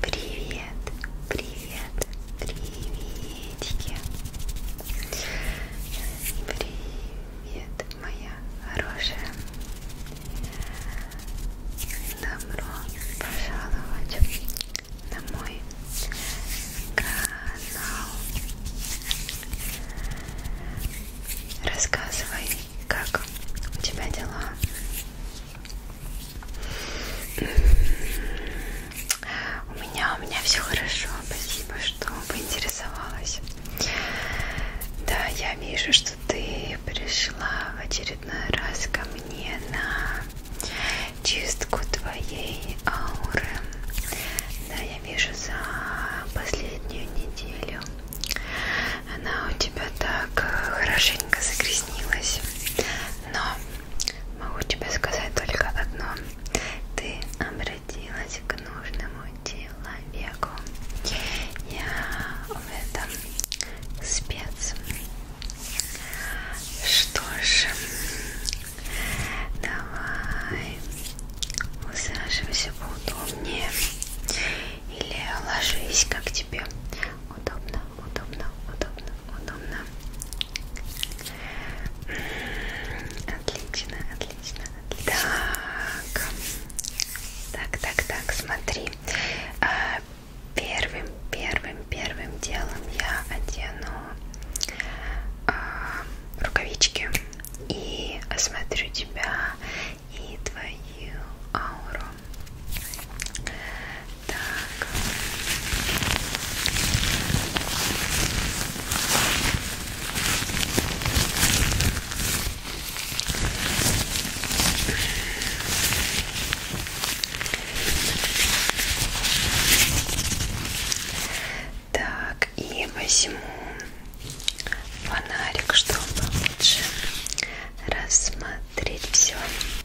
Привет, привет, приветики. Привет, моя хорошая. Добро пожаловать на мой канал. Рассказывай, как у тебя дела. У меня, у меня все хорошо. Спасибо, что поинтересовалась. Да, я вижу, что ты пришла в очередной раз ко мне на чистку твоей ауры, да, я вижу за последнюю неделю. Она у тебя так э, хорошенько загрязнилась. Но могу тебе сказать только одно. Ты обратилась к нужному человеку. Я в этом спец. Что ж, Давай усаживайся поудобнее или ложись, как тебе удобно, удобно, удобно, удобно. Отлично, отлично, отлично. Так, так, так, так, смотри. А, первым, первым, первым делом я одену а, рукавички и осмотрю тебя и твою ауру. Так. Так, и возьму фонарик, чтобы лучше рассмотреть все.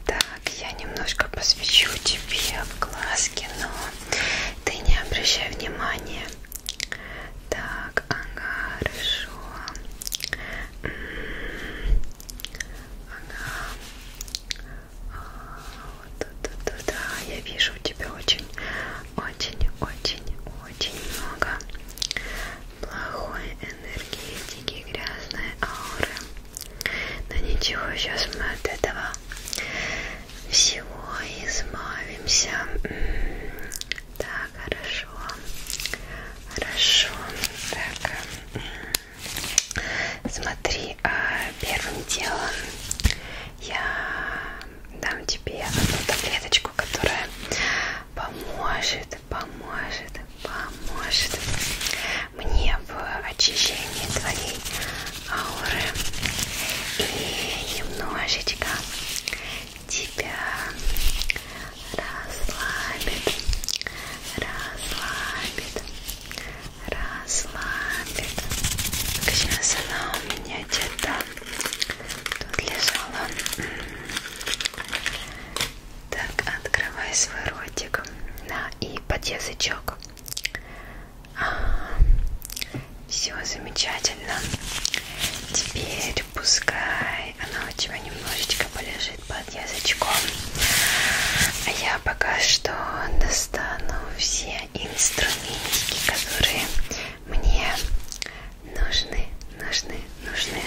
Так, я немножко посвечу тебе в глазки, но ты не обращай внимания. Так, ага, хорошо. Ага. А, вот, да, да, да, я вижу у тебя очень, очень, очень, очень много плохой энергетики, грязной ауры. Но ничего, сейчас мы от этого всего избавимся. Так, хорошо. Хорошо. Так. Смотри, и а, э, первым делом я дам тебе одну таблеточку, которая поможет, поможет, поможет мне в очищении твоей ауры и немножечко тебя расслабит, расслабит, расслабит. Как сейчас она у меня где-то тут лежала. Так, открывай свой ротик. Да, и под язычок. Все замечательно. Теперь пускай она у тебя немножечко полежит под язычком. А я пока что достану все инструментики, которые мне нужны, нужны, нужны.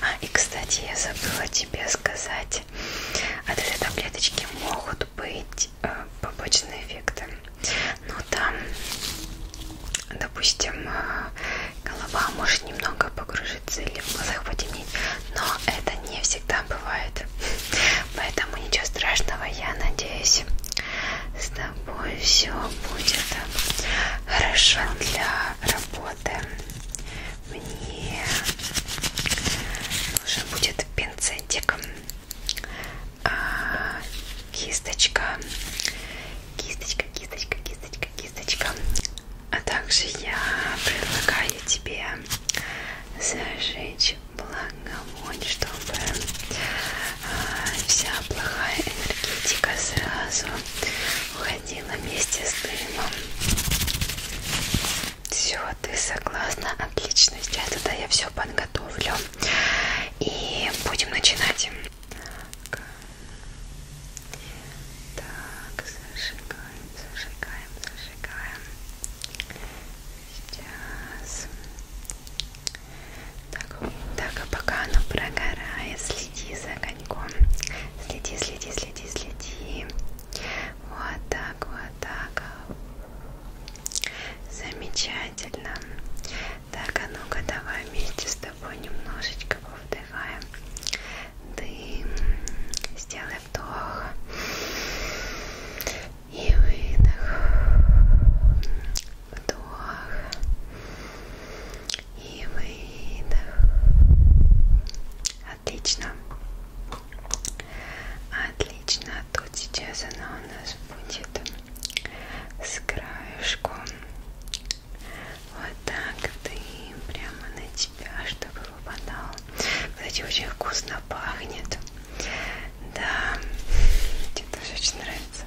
А, и, кстати, я забыла тебе сказать, от а этой таблеточки могут быть э, побочные эффекты. Ну, там, допустим, э, голова может немного погружиться или в глазах потемнеть, но это не всегда всегда бывает. Поэтому ничего страшного, я надеюсь, с тобой все будет хорошо для работы. Мне нужен будет пинцетик, а, кисточка, кисточка, кисточка, кисточка, кисточка. А также я предлагаю тебе зажечь благовонь, чтобы а, вся плохая энергетика сразу уходила вместе с дымом. Все, ты согласна? Отлично. Сейчас тогда я все подготовлю и будем начинать. Так, так зажигаем, зажигаем, зажигаем. Сейчас. Так, так, а пока оно прогорает, следи за огоньком. Следи, следи, следи, следи. Вот так, вот так. Замечательно. Так, а ну-ка давай вместе с тобой немножечко повдыхаем. Дым. Сделай вдох и выдох, вдох и выдох. Отлично, отлично. Тут сейчас она у нас будет с краешком. Вот так ты прямо на тебя, чтобы выпадал. Кстати, очень вкусно пахнет. Да, тебе тоже очень нравится.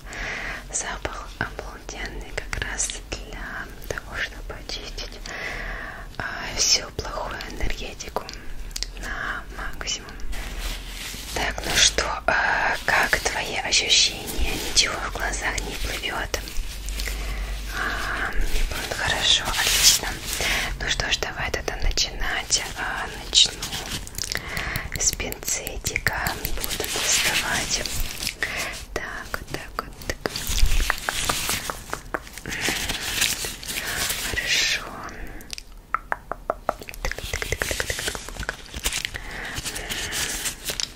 Запах обалденный как раз для того, чтобы очистить э, всю плохую энергетику на максимум. Так, ну что, э, как твои ощущения? Ничего в глазах не плывет. А, хорошо, отлично. Ну что ж, давай тогда начинать. А, начну с пинцетика. Буду доставать. Так, вот так, вот так. Хорошо. Так, так, так, так, так,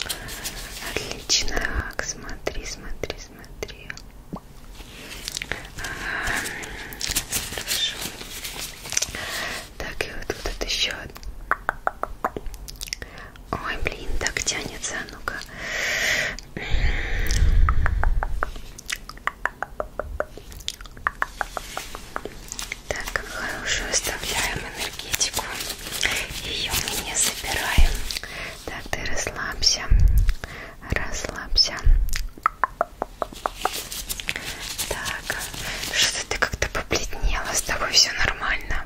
так. Отлично. Так, смотри, смотри, смотрел. Хорошо. Так, и вот тут вот еще. Ой, блин, так тянется, а ну-ка. Так, хорошую оставляем энергетику. Ее мы не забираем. Так, ты расслабься. Расслабься. Так, что-то ты как-то побледнела, с тобой все нормально.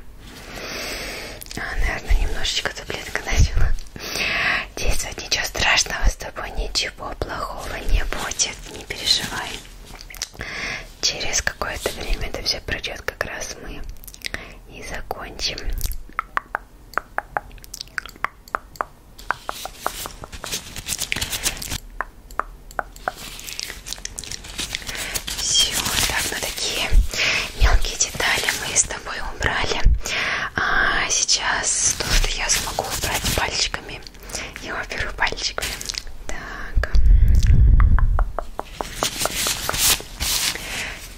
А, наверное, немножечко таблетка начала действовать. Ничего страшного с тобой, ничего плохого не будет, не переживай. Через какое-то время это все пройдет, как раз мы и закончим. Все, так, ну такие мелкие детали мы с тобой убрали. А сейчас то, что я смогу убрать пальчиками, я уберу пальчиками. Так.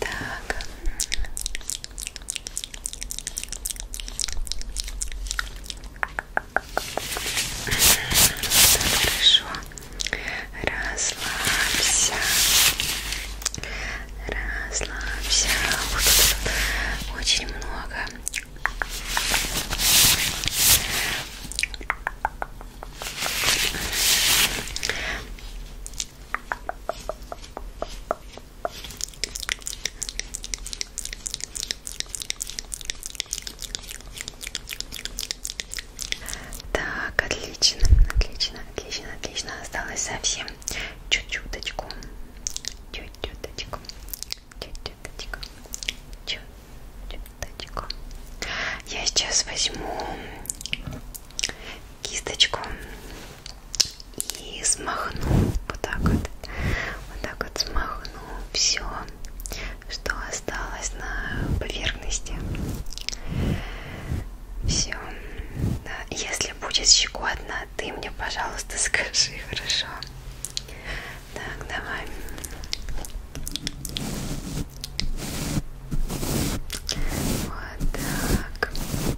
Так. Хорошо. Расслабься. Расслабься. Вот тут очень много. Так, отлично, отлично, отлично, отлично. Осталось совсем чуть-чуточку. Чуть-чуточку. Чуть-чуточку. Чуть-чуточку. Я сейчас возьму кисточку и смахну вот так вот, вот так вот смахну все, что осталось на поверхности. Все. Да. Если будет щекотно, ты мне, пожалуйста, скажи, хорошо? Так, давай. Вот так.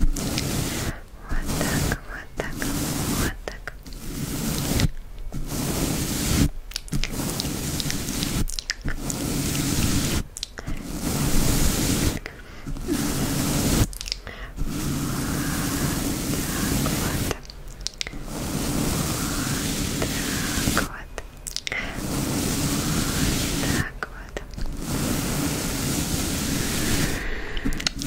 Вот так, вот так, вот так. Вот так, вот. Вот так, вот. Вот так вот.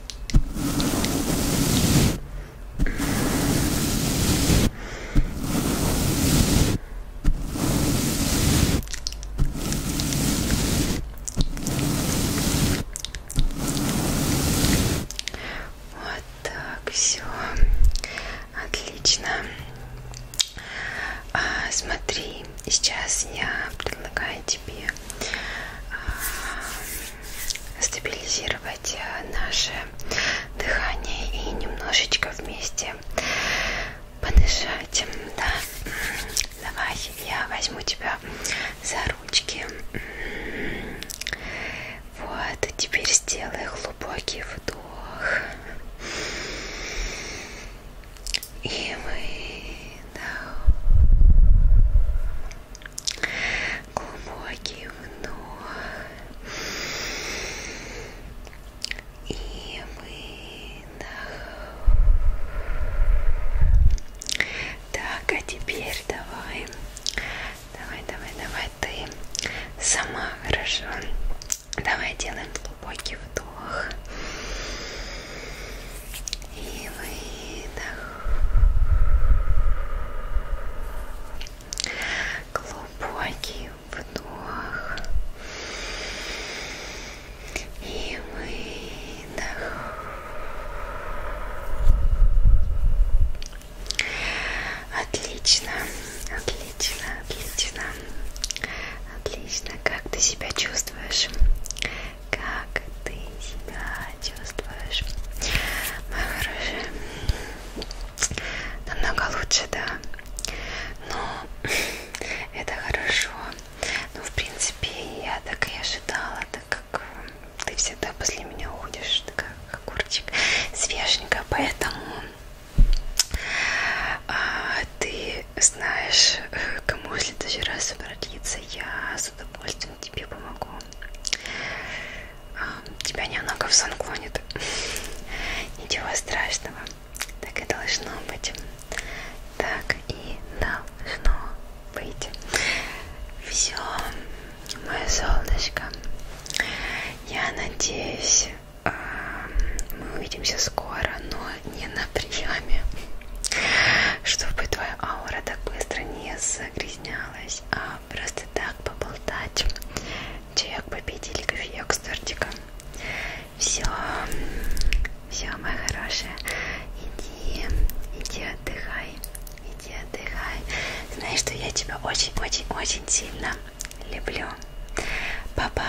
Вот так, все отлично. А, смотри, сейчас я предлагаю тебе а, стабилизировать э, наше дыхание и немножечко вместе понижать. Да. Давай, я возьму тебя за ручки. Вот, теперь сделай глубокий вдох и выдох. Глубокий вдох и выдох. Так, а теперь давай, давай, давай, давай ты сама хорошо. Давай делаем глубокий вдох и выдох. Глубокий вдох. И выдох. Отлично, отлично, отлично. Отлично. Как ты себя чувствуешь? как ты себя чувствуешь, моя хорошая? Намного лучше, да? Но это хорошо. Ну, в принципе, я так и ожидала, так как э, ты всегда после меня уходишь, ты как огурчик свеженько, поэтому а, ты знаешь, э, кому если в следующий раз обратиться, я с удовольствием тебе помогу. Тебя немного в сон клонит. Ничего страшного. Так и должно быть. Так и должно быть. Все, мое солнышко. Я надеюсь, мы увидимся скоро, но не на приеме чтобы твоя аура так быстро не загрязнялась, а просто так поболтать. Чаек победили, кофеек с тортиком. Все, все, моя хорошая, иди, иди отдыхай, иди отдыхай. Знаешь, что я тебя очень-очень-очень сильно люблю. Папа.